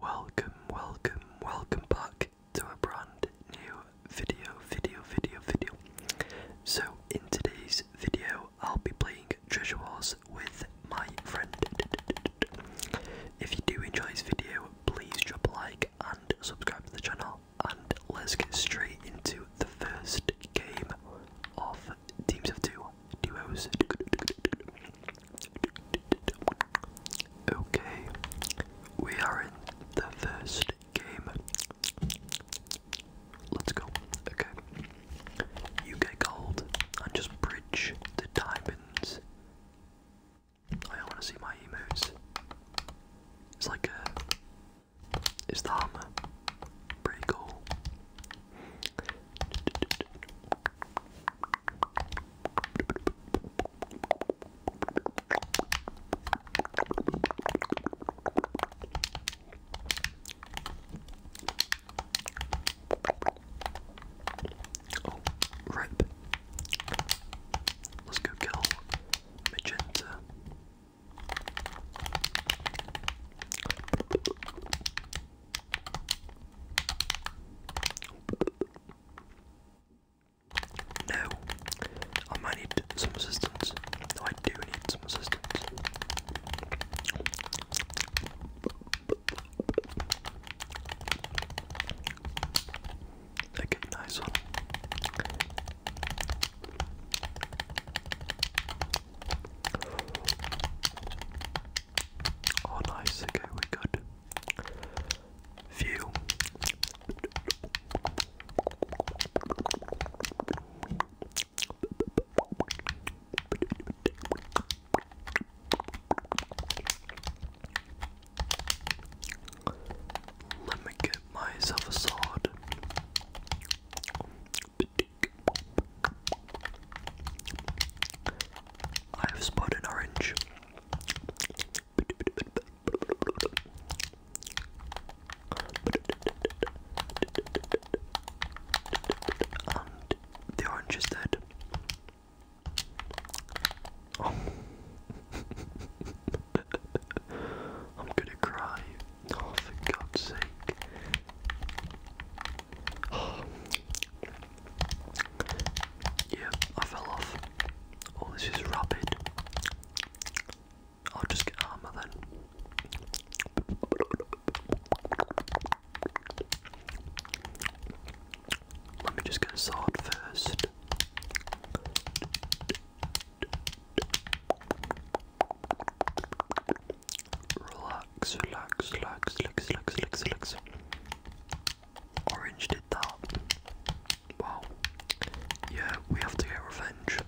Welcome, welcome, welcome back to a brand new video, video, video, video. So, in today's video, I'll be playing Treasure Wars with my friend. If you do enjoy this video, please drop a like and subscribe to the channel. And let's get straight into the first game of Teams of Two Duos. Okay, we are in the first game. Let's go. Okay. You get gold and just bridge the diamonds. I want to see my emotes. It's like a. It's the hammer. Pretty cool. Oh, rip. Let's go kill Magenta. No. I might need some assistance. I do need some assistance. Okay, nice one. Oh, nice. Okay, we're good. Phew. Let me get myself a sword. I have spotted an orange. the orange is dead. Oh. I'm gonna cry. Oh, for God's sake. Oh. Yeah, I fell off. Oh, this is rapid. I'll just get armor then. Let me just get sword first relax, relax, relax, relax, relax, relax, relax. Orange did that. Wow. Yeah, we have to get revenge.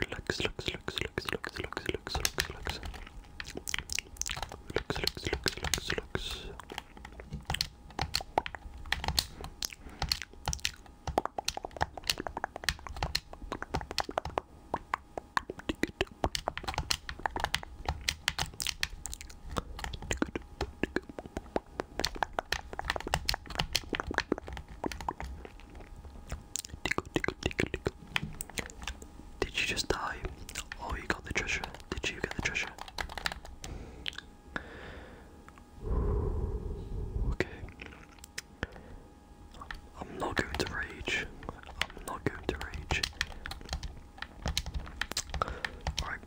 Relax, relax, relax, relax, relax, relax, relax, relax, relax. Relax, relax, relax, relax, relax. Did you just die? Oh, you got the treasure. Did you get the treasure? Okay. I'm not going to rage. I'm not going to rage. Alright.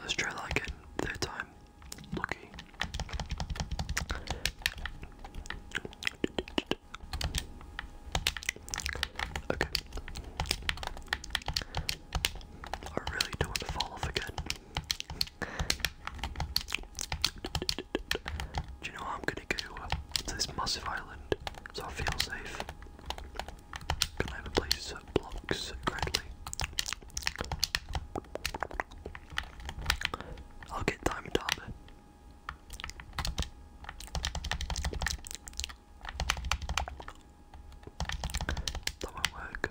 Let's try again. Third time. Lucky. Okay. I really don't want to fall again. Do you know what? I'm gonna go to this massive island so I feel safe. Can I have a place that blocks correctly? I'll get time tab. That not work.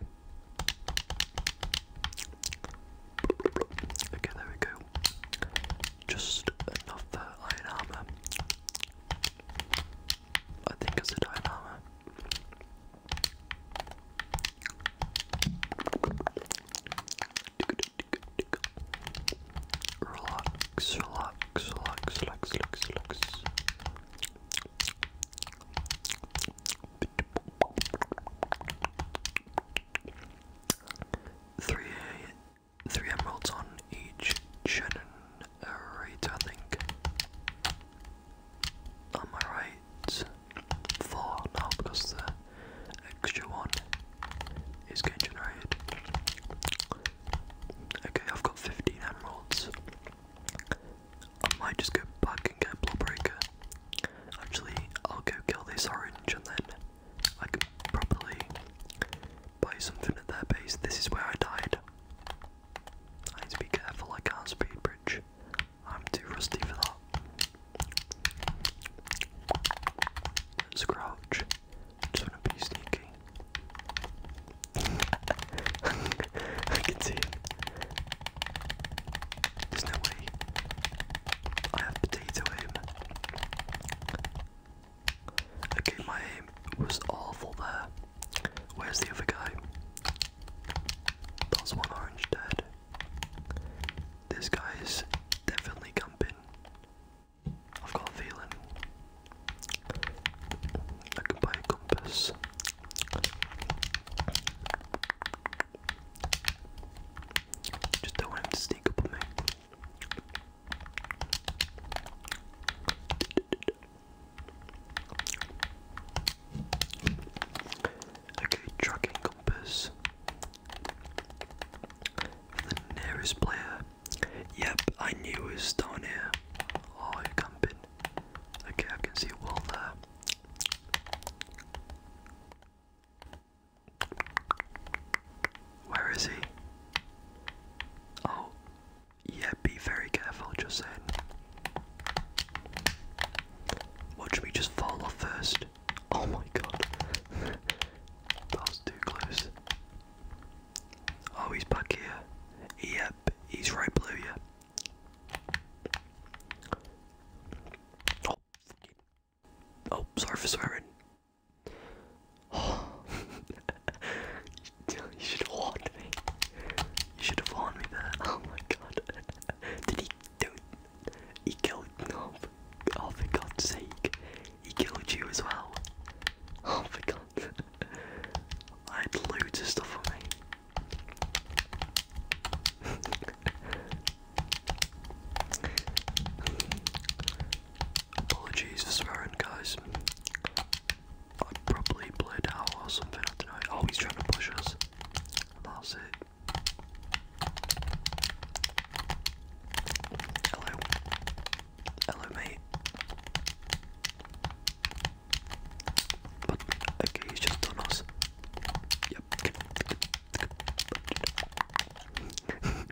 Okay, there we go. Just another iron armor. I think it's said iron armor. Relax, relax, relax, relax, relax, relax. Three, three emeralds on each generator, I think. Am I right? Four now because the extra one is getting generated. Okay, I've got 15 emeralds. I might just go back and get a Actually, I'll go kill this orange and then I can probably buy something at their base. This is where I died. I need to be careful, I can't speed bridge. I'm too rusty for that. Scrouge. us crouch. Just wanna be sneaking. I can see there's no way I have potato aim. Okay, my aim was awful there. Where's the other guy? That's one orange dead. This guy is definitely camping. I've got a feeling. I can buy a compass. Just don't want him to sneak up on me. Okay, tracking compass the nearest player. Yep, I knew it was down here. Oh, you're camping. Okay, I can see a where is he? Oh, yeah, be very careful, just saying. Watch me just fall off first. Oh my god. that was too close. Oh, he's back here. Yep, he's right below you. Oh, oh, sorry for swearing. you should have warned me. You should have warned me there. Oh my god. Did he do He killed no oh for God's sake. He killed you as well. Oh for god. I had loads of stuff on me. Apologies for swearing, guys. I probably played out or something, I don't know. Oh, he's trying to push us. That's it. Hello. Hello, mate. But, okay, he's done us. Yep. oh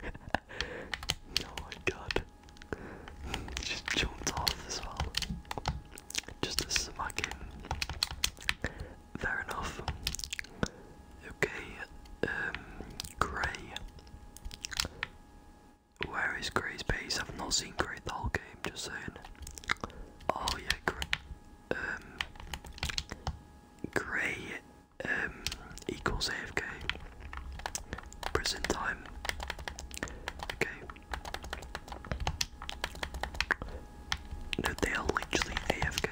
my god. Just jumped off as well. Just a smacking. Fair enough. Okay, um, Grey. Where is Grey's base? I've not seen Grey the whole game, just saying. Oh yeah, Grey. Um, grey um, equals AFK. Prison time. Okay. No, they are literally AFK.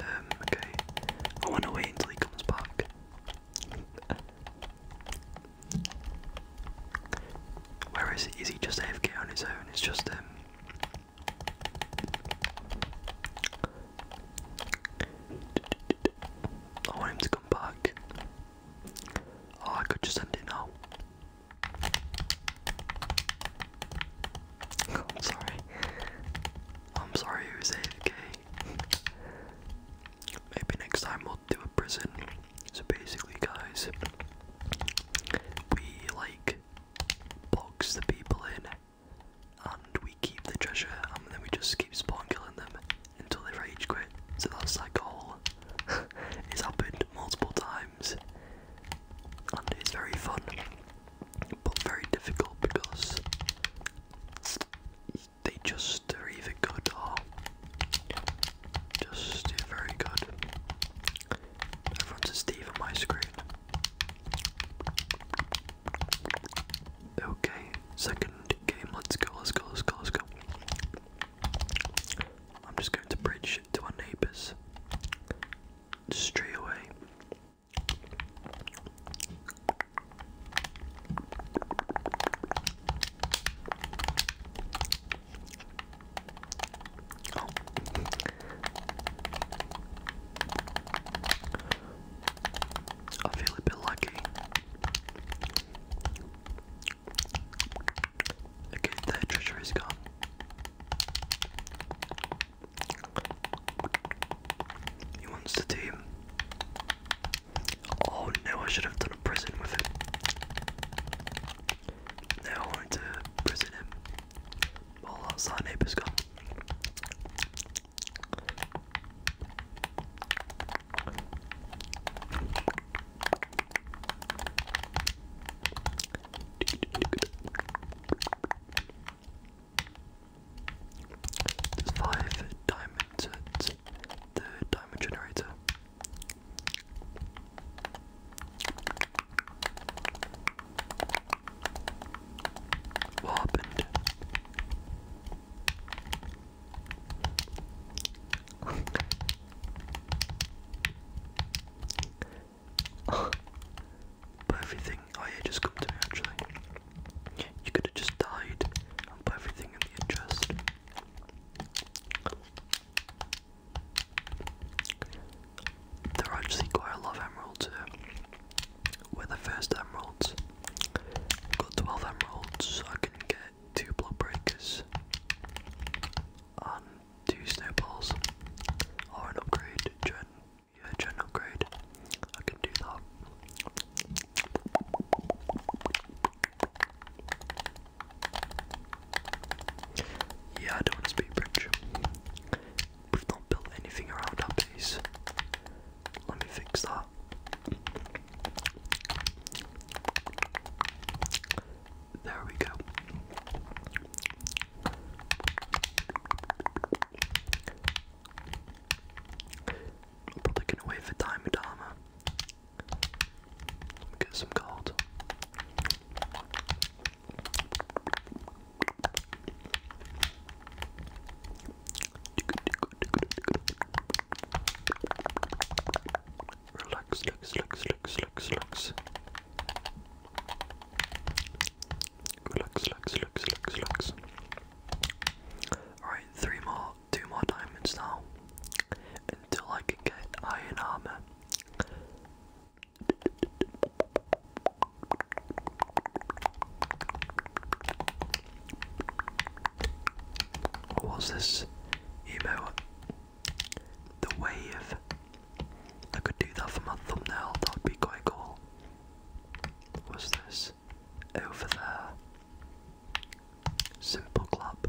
Um, okay. I wanna wait until he comes back. Where is he? Is he just AFK on his own? It's just um I want him to come back. Oh, I could just end it now. I'm sorry. I'm sorry, it was AFK. Maybe next time we'll do a prison. So basically, guys, we like box the people in and we keep the treasure and then we just keep spawning, killing them until they rage quit. So that's like all. it's happened multiple times and it's very fun but very difficult because they just are either good just very good. Everyone's a Steve on my screen. Okay, second game. Let's go, let's go, let's go, let's go. I'm just going to bridge to our neighbours. Straight away. Oh. I feel a bit lucky. Okay, that treasure is gone. He wants the team. Oh no, I should have done a prison with it. They all went to prison him while our side neighbour's gone. five diamond the diamond generator. What happened? but everything, oh yeah, just come to me actually. You could have just died and everything in the chest. There are actually quite a lot of emeralds here. We're the first emeralds. I've got 12 emeralds, so I can get two block breakers and two snowballs. Or an upgrade, gen yeah, gen upgrade. I can do that. Yeah, I don't want to speed bridge. We've not built anything around our base. Let me fix that. There we go. probably gonna wait for Diamond Armor. Get some gold. Relax, relax, relax. Relax, relax, relax, relax, relax. Alright, three more two more diamonds now until I can get iron armor. What was this email? The wave. I could do that for my thumbnail, that would be quite cool. What's this? Over there. Simple clap.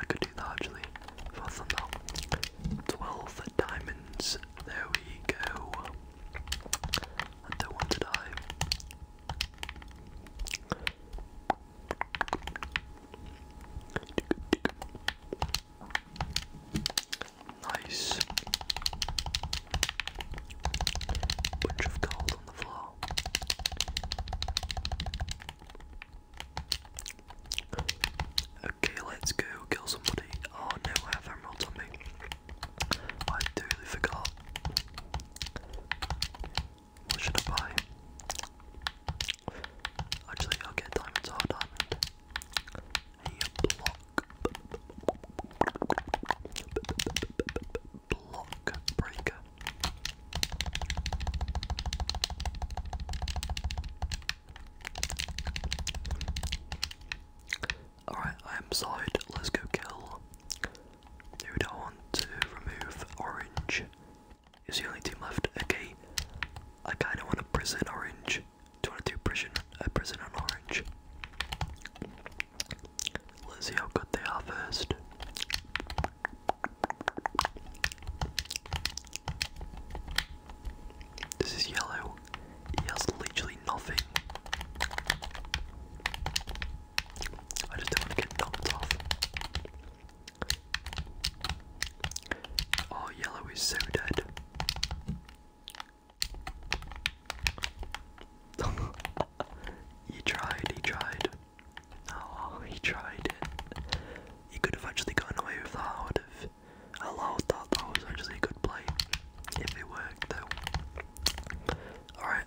I could do that actually for a thumbnail. 12 diamonds. There we go. I do to die. Nice. Bunch of gold on the floor. Okay, let's go kill somebody. Oh no, I have emeralds on me. I totally forgot. What should I buy? Actually, I'll get diamonds or oh, diamond. Block breaker. Alright, I am side. Let's go kill. Dude, I want to remove orange. Is the only team left? Okay. I kinda want to prison orange. Do you wanna do prison I uh, prison on orange? Let's see how good they are first. This is yellow. He has literally nothing. I just don't want to get knocked off. Oh, yellow is so dead. He tried, He tried. Oh, he tried it. You could have actually gone away with the heart I a lot of thought That was actually a good play. If it worked, though. Alright.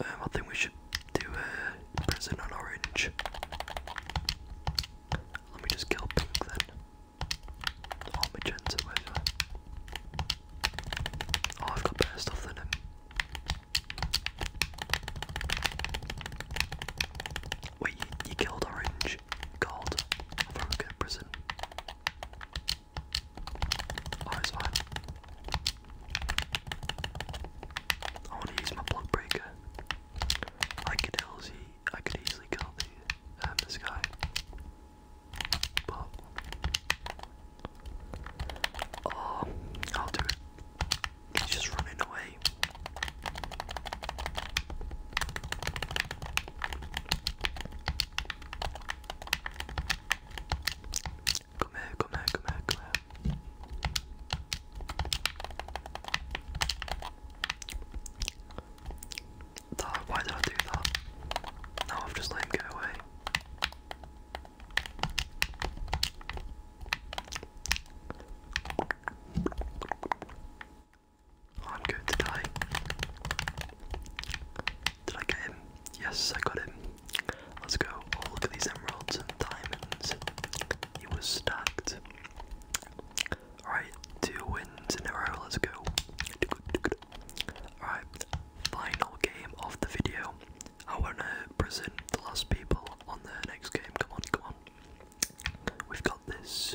Um, I think we should do a uh, prison on orange. Let me just kill pink then. Or magenta, Oh, I've got better stuff than him. Wait, you, killed Orange Called? from good prison. Oh, I want to use my block breaker. I could easily, I could easily kill the um, guy, but Oh, I'll do it. He's just running away. Come here, come here, come here, come here. why did I do that? Now I've just let him get away. Oh, I'm good today. Did I get him? Yes, I got him. Let's go. Oh, look at these emeralds and diamonds. It was stacked. Alright, two wins in a row. Let's go. Alright, final game of the video. I want to present the last people on the next game. Come on, come on. We've got this.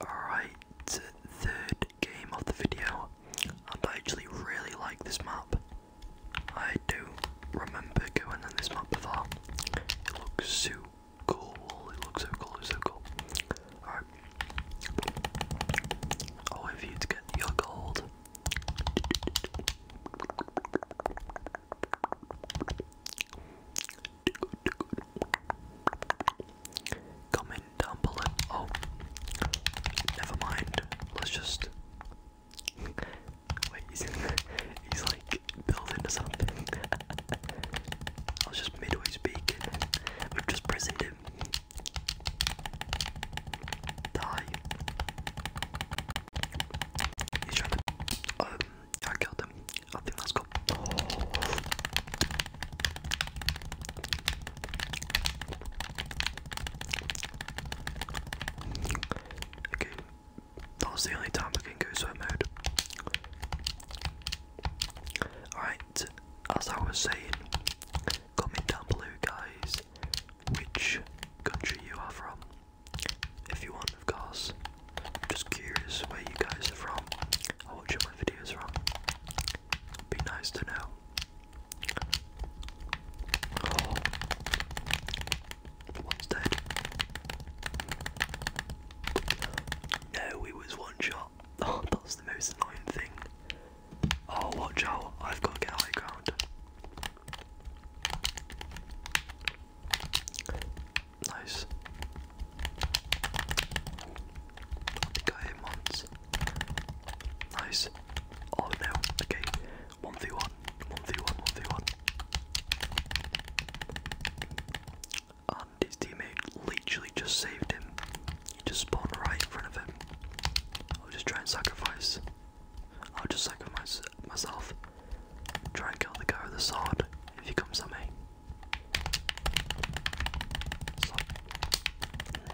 Alright, third game of the video. And I actually really like this map. I do remember going on this map before. It looks so cool. It looks so cool. It's so cool. Alright. I'll wait for you to get your gold. Comment down below. Oh, never mind. Let's just. Wait, he's like building something. I was just midway speaking. We've just prisoned him. Daha iyi. Hiç öyle yer geldim. Hadi let's go. Okay. That was the only time I can go swim mode. Alright, as I was saying, Comment down below, guys, which country you are from. If you want, of course. I'm just curious where you guys are from or what my videos from. be nice to know. Oh. One's No, it was one shot. Oh, that's the most annoying thing. Oh, watch out. I've got to get high ground. Nice. I think I Nice. Oh no. Okay. 1v1. And his teammate literally just saved him. You just spawn right in front of him. I'll just try and sacrifice. I'll just sacrifice myself. Try and kill the guy with the sword if he comes at me.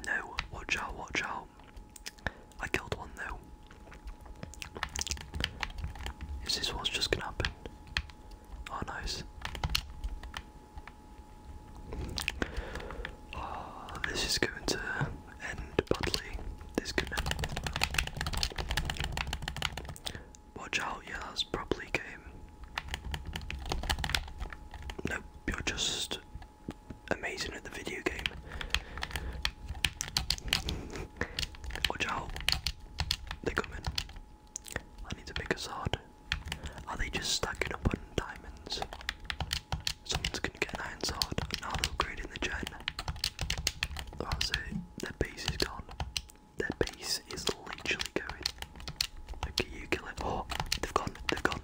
No, watch out, watch out. I killed one though. Is this what's just gonna happen? Oh, nice. Oh, this is going to end badly. This Watch out, yeah, probably game. Nope, you're just amazing at the video game. Watch out. They're coming. I need to make a sword. Are they just stuck stacking up on diamonds? Someone's gonna get an iron sword, and now they're upgrading the gen. That's it, their base is gone. Their base is literally going. Okay, you kill it. Oh, they've gone, they've gone.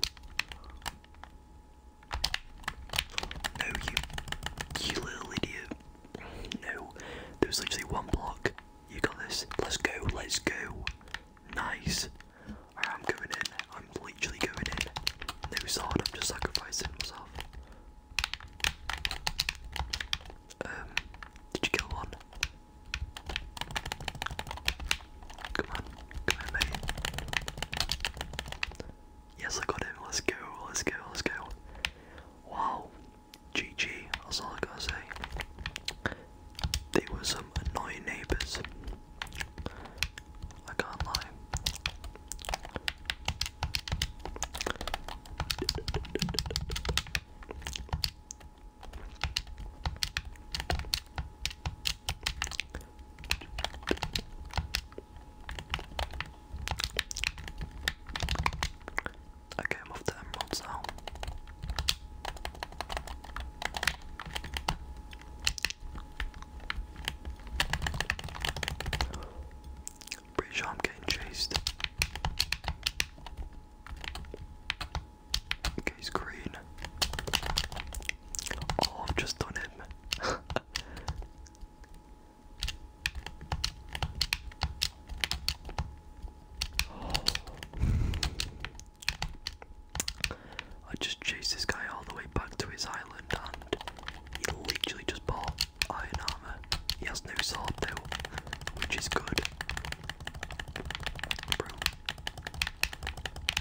No, you, you little idiot. No, there literally one block. You got this. Let's go, let's go. Nice. I'm going in. I'm literally going in. No sword, I'm just sacrificing myself. Um, did you kill one? Come on, come on, mate. Yes, I got him. Let's go, let's go, let's go. Wow, GG, that's all I gotta say. They were some annoying neighbours. I can't lie. I'm off to Emeralds now. Pretty I'm getting chased. he's green. Oh, I've just done him. I just chased this guy all the way back to his island and he literally just bought iron armor. He has no sword though, which is good. We're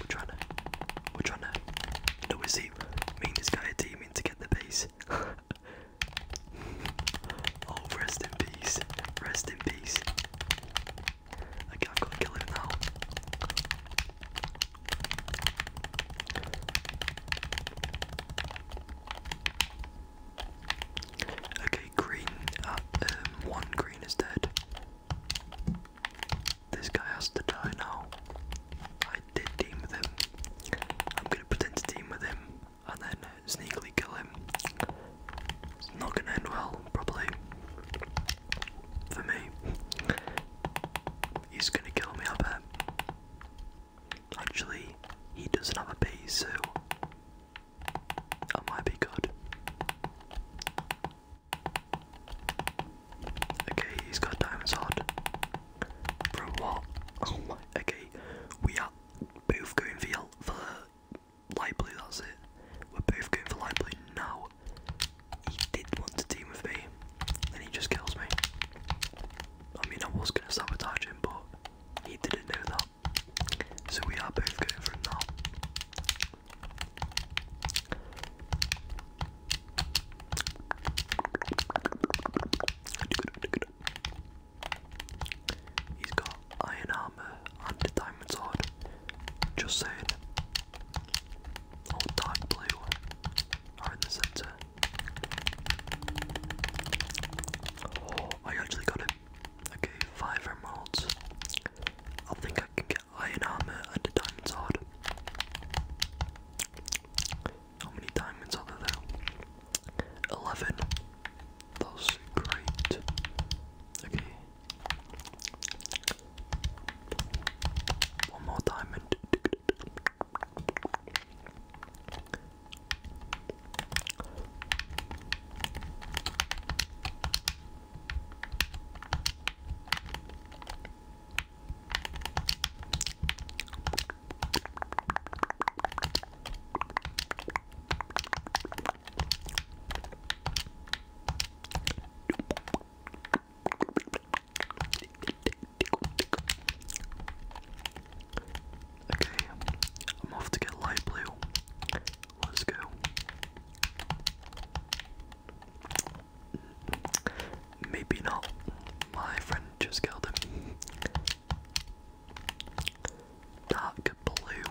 trying to we're trying to No is he mean this guy are teaming to get the base. Oh, rest in peace. Rest in peace. I can't go kill it now. Okay, green. Uh, um, one green is dead. This guy has to die now. I did team with him. I'm gonna pretend to team with him and then sneakily kill him. not gonna end well probably. For me. He's gonna kill me, I bet. Actually, he doesn't have a so that might be good. Okay, he's got diamonds hard. From what? Oh my. Okay, we are both going for light blue, that's it. We're both going for light blue now he did want to team with me, and he just kills me. I mean, I was going to sabotage him, but he didn't know that. So we are both going from that. He's got iron armor and diamond sword. Just saying. dark blue are in the center. Oh, I actually got it. Okay, five emeralds. I think I can get iron armor and diamond sword. How many diamonds are there? Eleven. That's great. Okay, one more diamond. Okay, I'm off to get light blue. Let's go. Maybe not. My friend just killed him. Dark blue.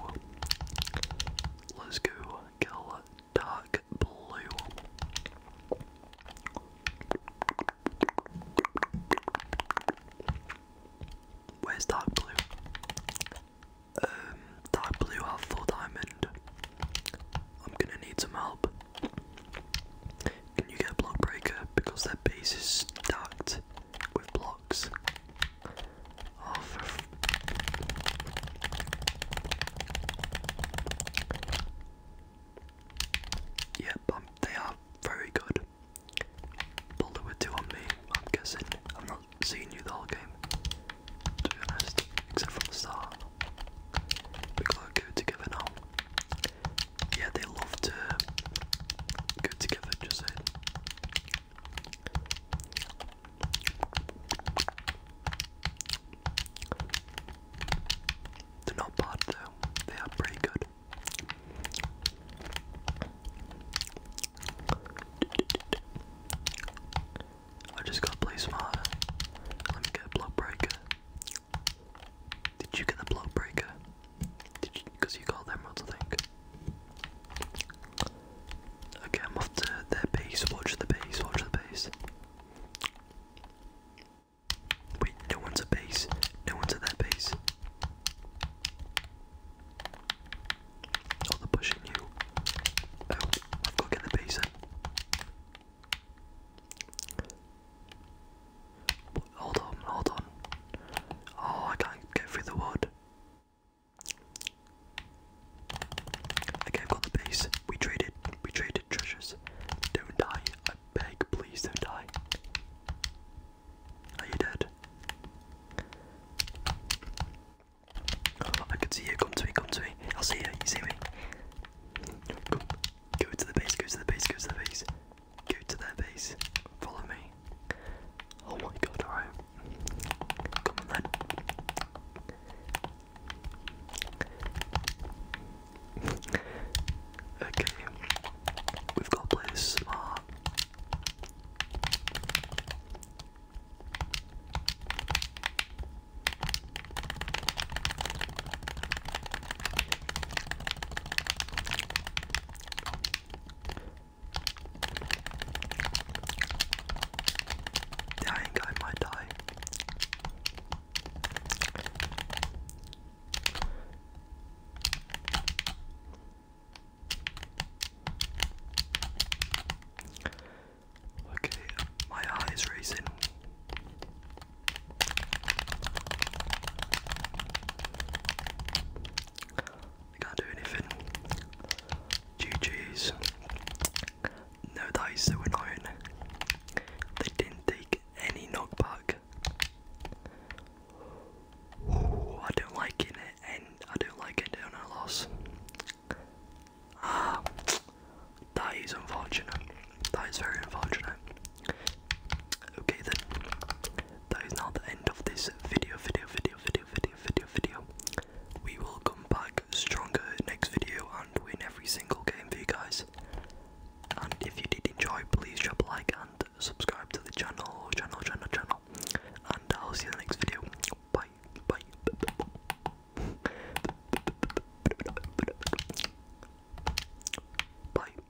Let's go kill dark blue. Where's dark blue? Um, dark blue have full diamond. I'm gonna need some help. Can you get block breaker because their base is stacked with blocks? Oh, Yep, um, they are very good. But there were two on me, I'm guessing. I'm not seeing you the whole game, to be honest, except from the start. We gotta together Yeah, they love to go together, just saying. They're not bad though, they are pretty good. I just gotta play Let me get a block breaker. Did you get the block breaker? Did you? Because you got them, I think. Okay, I'm off to their base. Watch the base. Watch the base. Wait, no one's at base. No one's at their base. Oh, they pushing you. I've got to the base Hold on, hold on. Oh, I can't get through the wood. Okay, I've got the base. We traded. We traded treasures. Don't die. I beg, please don't die. Are you dead? I can see you. Come to me. Come to me. I'll see you. You see me? Go, go to the base. Go to the base. Go to the base. Go to their base. Follow me. Oh my god, alright. okay. We've got to Dang, I might die. Okay, my heart racing can't do anything. GG's. No, that is so annoying. They didn't take any knockback. I don't like it, I don't like it on a loss. Ah, that is unfortunate. That is very unfortunate. Okay then, that is not the end of this video, video, video, video, video video, video, We will come back stronger next video and win every single game for you guys. And if you did enjoy, please drop a like and subscribe to the channel, channel, channel, channel. And I'll see you in the next video. Bye, bye. Bye.